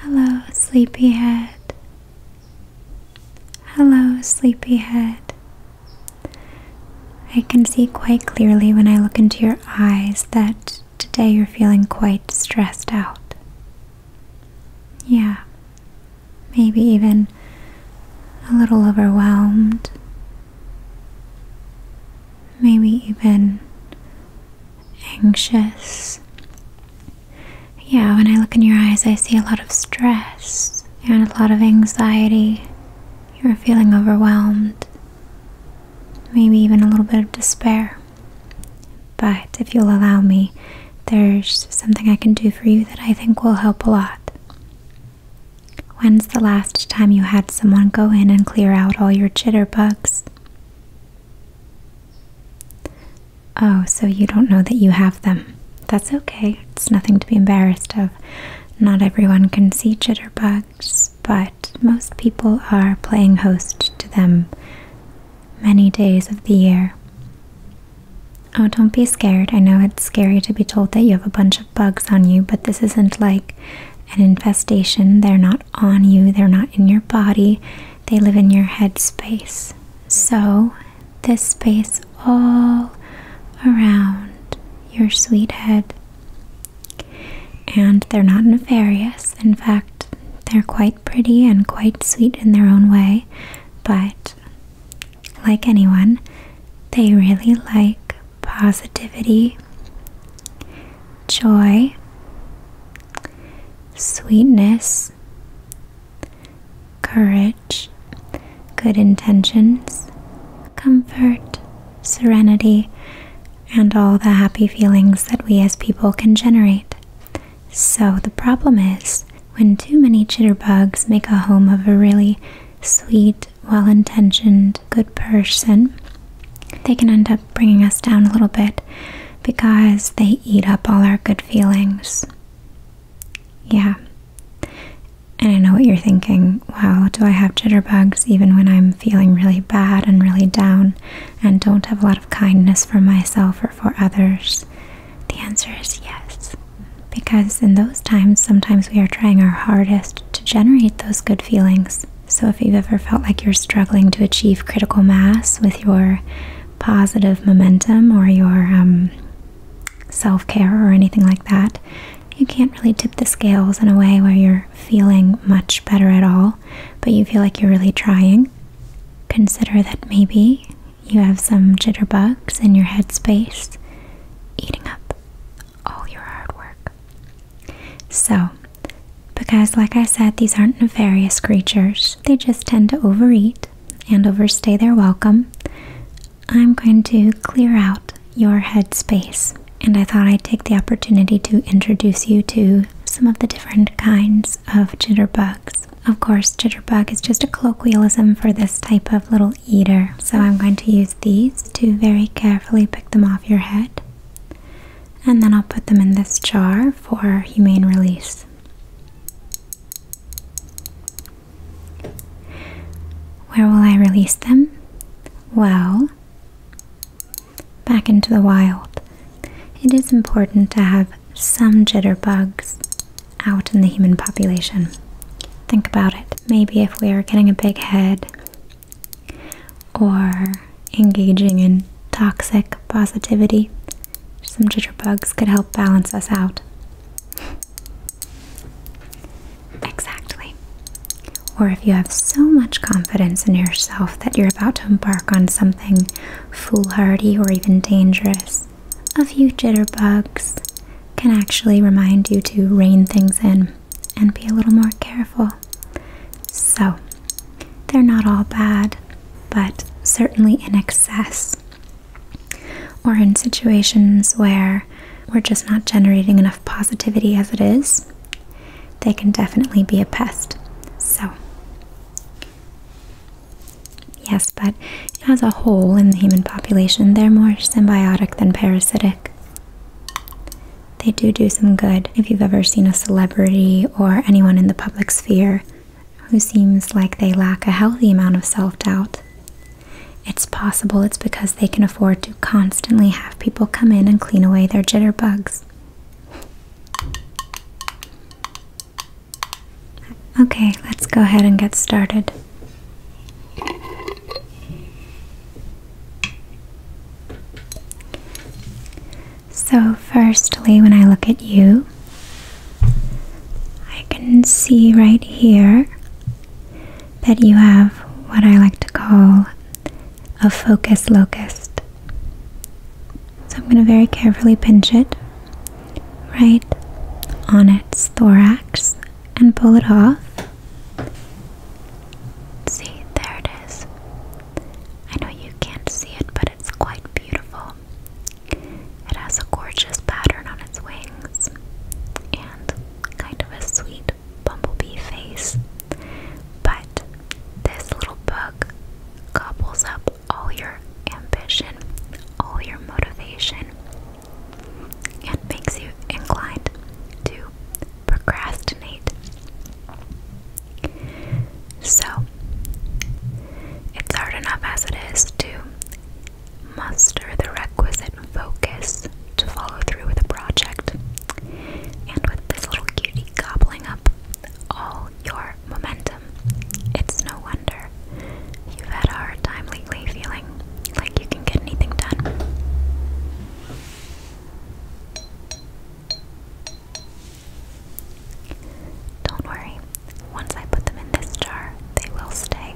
Hello, sleepyhead. Hello, sleepyhead. I can see quite clearly when I look into your eyes that today you're feeling quite stressed out. Yeah, maybe even a little overwhelmed. Maybe even anxious. Yeah, when I look in your eyes, I see a lot of stress and a lot of anxiety. You're feeling overwhelmed, maybe even a little bit of despair. But if you'll allow me, there's something I can do for you that I think will help a lot. When's the last time you had someone go in and clear out all your jitterbugs? Oh, so you don't know that you have them. That's okay. It's nothing to be embarrassed of. Not everyone can see jitterbugs, but most people are playing host to them many days of the year. Oh, don't be scared. I know it's scary to be told that you have a bunch of bugs on you, but this isn't like an infestation. They're not on you, they're not in your body, they live in your head space. So, this space all around your sweet head. And they're not nefarious. In fact, they're quite pretty and quite sweet in their own way. But, like anyone, they really like positivity, joy, sweetness, courage, good intentions, comfort, serenity, and all the happy feelings that we as people can generate. So the problem is when too many chitterbugs make a home of a really sweet, well intentioned, good person, they can end up bringing us down a little bit because they eat up all our good feelings. Yeah. And I know what you're thinking. Well, do I have jitterbugs even when I'm feeling really bad and really down and don't have a lot of kindness for myself or for others? The answer is yes. Because in those times, sometimes we are trying our hardest to generate those good feelings. So, if you've ever felt like you're struggling to achieve critical mass with your positive momentum or your um, self care or anything like that, you can't really tip the scales in a way where you're feeling much better at all, but you feel like you're really trying. Consider that maybe you have some jitterbugs in your headspace eating up all your hard work. So, because, like I said, these aren't nefarious creatures, they just tend to overeat and overstay their welcome. I'm going to clear out your head space, and I thought I'd take the opportunity to introduce you to some of the different kinds of jitterbugs. Of course, jitterbug is just a colloquialism for this type of little eater, so I'm going to use these to very carefully pick them off your head and then I'll put them in this jar for humane release. Where will I release them? Well, back into the wild. It is important to have some jitterbugs out in the human population. Think about it. Maybe if we are getting a big head or engaging in toxic positivity. Some jitterbugs could help balance us out. Exactly. Or if you have so much confidence in yourself that you're about to embark on something foolhardy or even dangerous, a few jitterbugs can actually remind you to rein things in and be a little more careful. So, they're not all bad, but certainly in excess. Or in situations where we're just not generating enough positivity as it is, they can definitely be a pest. So, yes, but as a whole in the human population, they're more symbiotic than parasitic. They do do some good, if you've ever seen a celebrity or anyone in the public sphere who seems like they lack a healthy amount of self doubt. It's possible it's because they can afford to constantly have people come in and clean away their jitterbugs. Okay, let's go ahead and get started. So, firstly, when I look at you, I can see right here that you have what I like to call a focus locust. So, I'm going to very carefully pinch it right on its thorax and pull it off. See, there it is. I know you can't see it, but it's quite beautiful. It has a gorgeous pattern on its wings and kind of a sweet bumblebee face. But this little bug gobbles up all your ambition, all your motivation, and makes you inclined to procrastinate. So, it's hard enough as it is to muster the requisite focus to follow through with a project. And with this little cutie gobbling up all your momentum, it's no wonder you've had a hard time lately feeling like you can get anything done. Don't worry, once I put them in this jar, they will stay.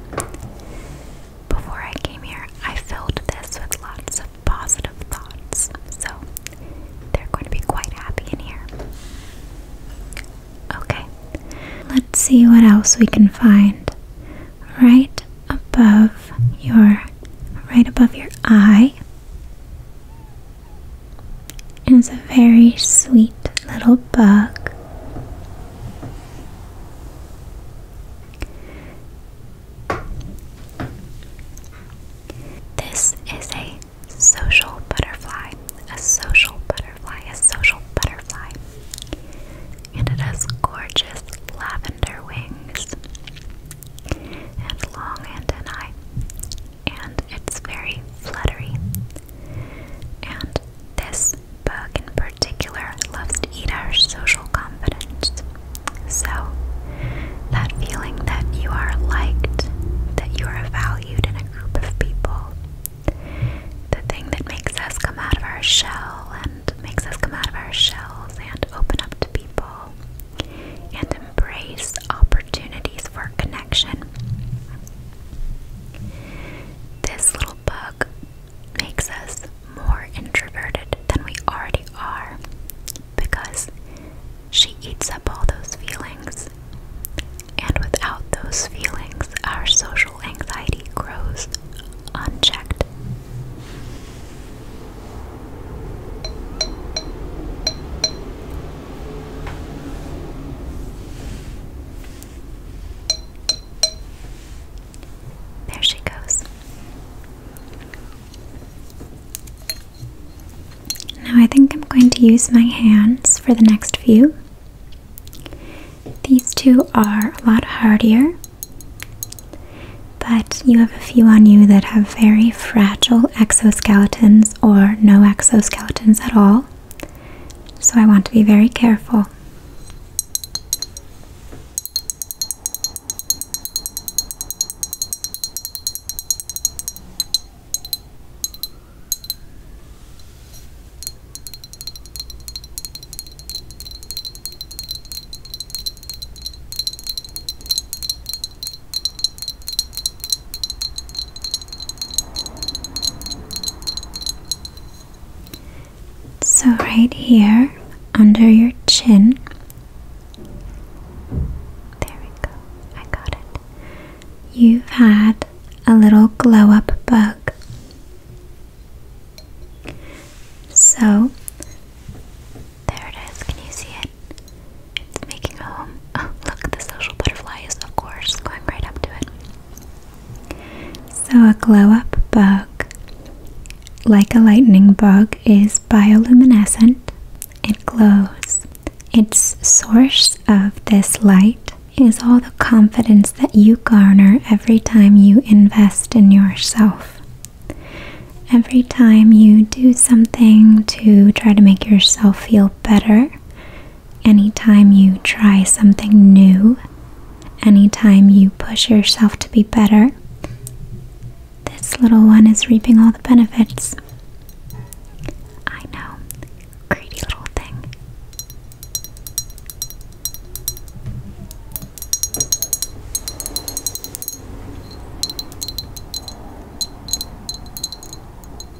Before I came here, I filled this with lots of positive thoughts, so they're going to be quite happy in here. Okay, let's see what else we can find. Right above your right above your eye it's a very sweet little bug. This is a social butterfly, a social butterfly, a social butterfly, and it has gorgeous lavender wings and long antennae and it's very fluttery. And this bug in particular loves to eat our social confidence. So, that feeling that you are liked, that you are valued in a group of people, the thing that makes us come out of our shell and makes us come out of our shells and open up to people and embrace opportunities for connection. This little book makes us more introverted than we already are because she eats up all those feelings. And without those feelings, our social anxiety grows unchecked. There she goes. Now I think I'm going to use my hands for the next few. These two are a lot harder, but you have a few on you that have very fragile exoskeletons or no exoskeletons at all. So I want to be very careful. So, right here under your chin, there we go, I got it. You've had a little glow up bug. So, there it is. Can you see it? It's making a home. Oh, look, the social butterfly is, of course, going right up to it. So, a glow up bug, like a lightning bug, is bioluminescent. It glows. Its source of this light is all the confidence that you garner every time you invest in yourself. Every time you do something to try to make yourself feel feel better anytime you try something new, anytime you push yourself to be better. This little one is reaping all the benefits. I know, greedy little thing.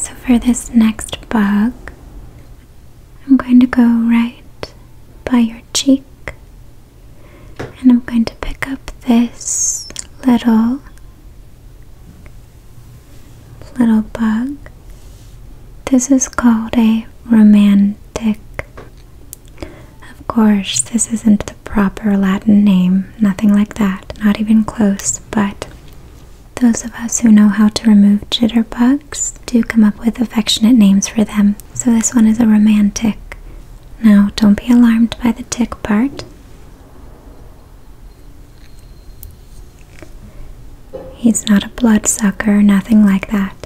So for this next bug, I'm going to go right by your cheek and I'm going to pick up this little little bug. This is called a romantic. Of course, this isn't the proper Latin name, nothing like that, not even close but those of us who know how to remove jitterbugs do come up with affectionate names for them. So this one is a romantic. Now, don't be alarmed by the tick part. He's not a bloodsucker, nothing like that.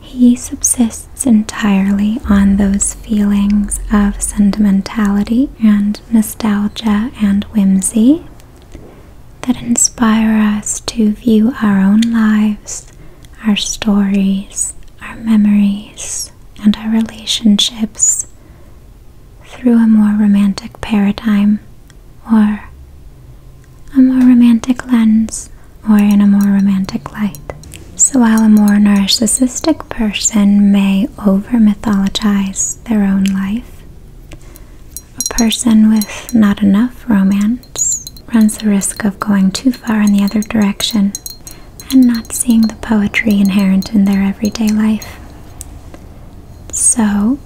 He subsists entirely on those feelings of sentimentality and nostalgia and whimsy that inspire us to view our own lives, our stories, our memories, and our relationships through a more romantic paradigm or a more romantic lens or in a more romantic light. So, while a more narcissistic person may over mythologize their own life. A person with not enough romance runs the risk of going too far in the other direction and not seeing the poetry inherent in their everyday life. So,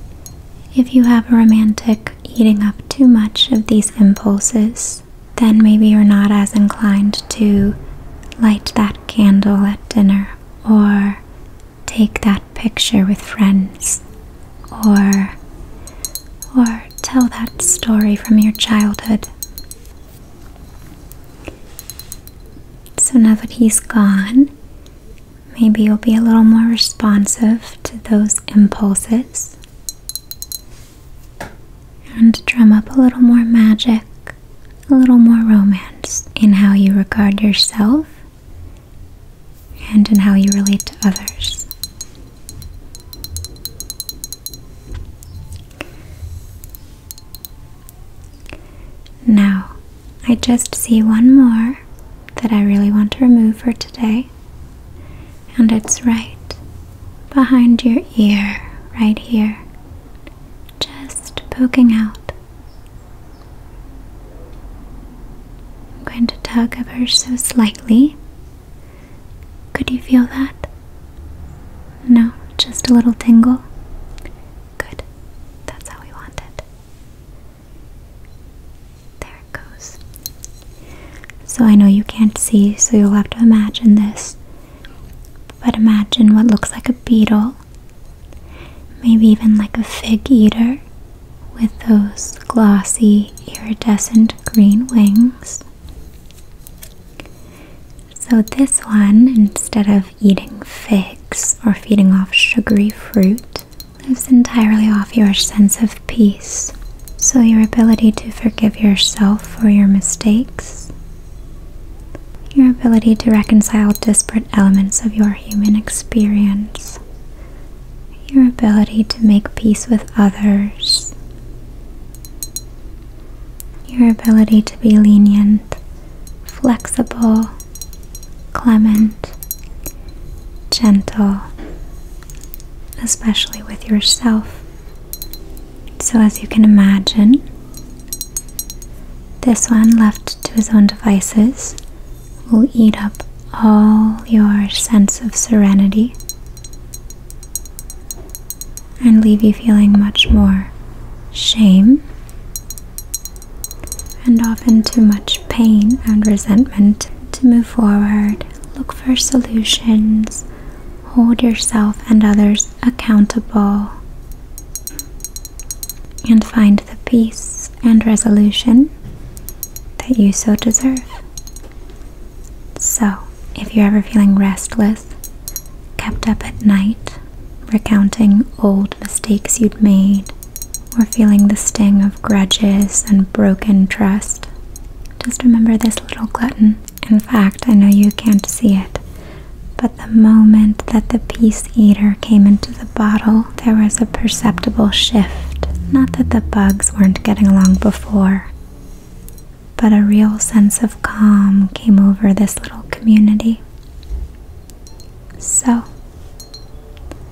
if you have a romantic eating up too much of these impulses, then maybe you're not as inclined to light that candle at dinner or take that picture with friends or or tell that story from your childhood. So now that he's gone, maybe you'll be a little more responsive to those impulses and drum up a little more magic a little more romance in how you regard yourself and in how you relate to others. Now, I just see one more that I really want to remove for today, and it's right behind your ear, right here, just poking out. I'm going to tug her so slightly. Could you feel that? No, just a little tingle. Good, that's how we want it. There it goes. So I know you can't see, so you'll have to imagine this. But imagine what looks like a beetle Maybe even like a fig eater with those glossy iridescent green wings. So, this one, instead of eating figs or feeding off sugary fruit, lives entirely off your sense of peace. So, your ability to forgive yourself for your mistakes your ability to reconcile disparate elements of your human experience. Your ability to make peace with others. Your ability to be lenient, flexible, clement, gentle, especially with yourself. So, as you can imagine, this one, left to his own devices, will eat up all your sense of serenity and leave you feeling much more shame and often too much pain and resentment to move forward. Look for solutions. Hold yourself and others accountable and find the peace and resolution that you so deserve. So, if you're ever feeling restless, kept up at night, recounting old mistakes you'd made, or feeling the sting of grudges and broken trust, just remember this little glutton. In fact, I know you can't see it, but the moment that the Peace Eater came into the bottle, there was a perceptible shift. Not that the bugs weren't getting along before, but a real sense of calm came over this little community. So,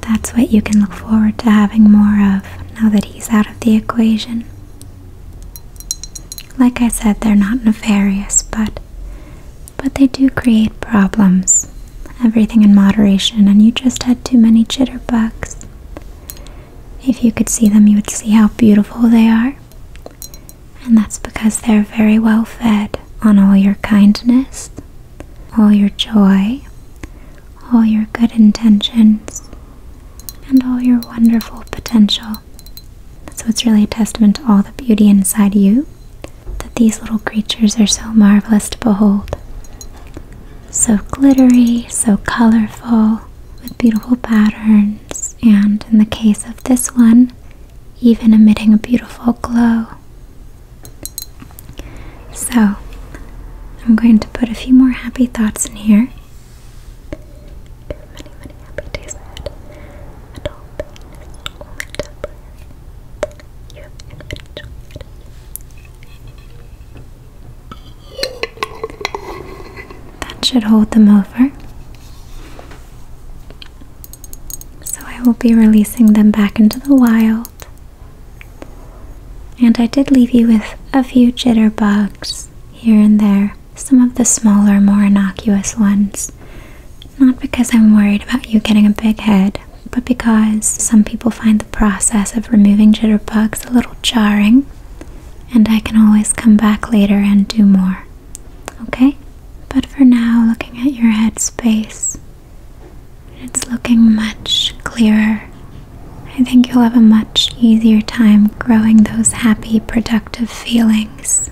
that's what you can look forward to having more of now that he's out of the equation. Like I said, they're not nefarious, but but they do create problems. Everything in moderation, and you just had too many chitterbugs. If you could see them, you would see how beautiful they are. And that's because they're very well fed on all your kindness, all your joy, all your good intentions, and all your wonderful potential. So it's really a testament to all the beauty inside you that these little creatures are so marvelous to behold. So glittery, so colorful, with beautiful patterns, and in the case of this one, even emitting a beautiful glow. So, I'm going to put a few more happy thoughts in here that should hold them over. So I will be releasing them back into the wild. And I did leave you with a few jitterbugs here and there, some of the smaller, more innocuous ones. Not because I'm worried about you getting a big head, but because some people find the process of removing jitterbugs a little jarring, and I can always come back later and do more. Okay? But for now, looking at your head space, it's looking much clearer. I think you'll have a much easier time growing those happy, productive feelings.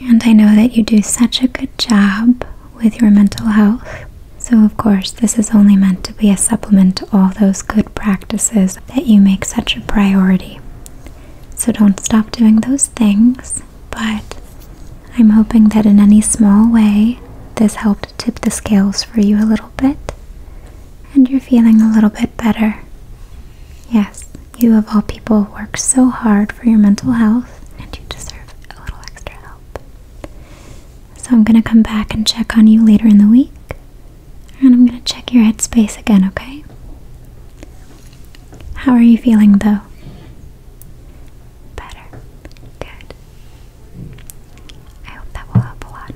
And I know that you do such a good job with your mental health. So, of course, this is only meant to be a supplement to all those good practices that you make such a priority. So, don't stop doing those things, but I'm hoping that in any small way, this helped tip the scales for you a little bit and you're feeling a little bit better. Yes, you of all people worked so hard for your mental health and you deserve a little extra help. So I'm going to come back and check on you later in the week. And I'm going to check your headspace again, okay? How are you feeling though? Better. Good. I hope that will help a lot.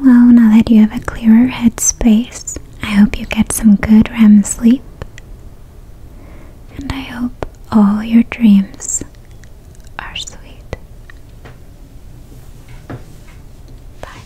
Well, now that you have a clearer headspace, I hope you get some good REM sleep. And I hope all your dreams are sweet. Bye.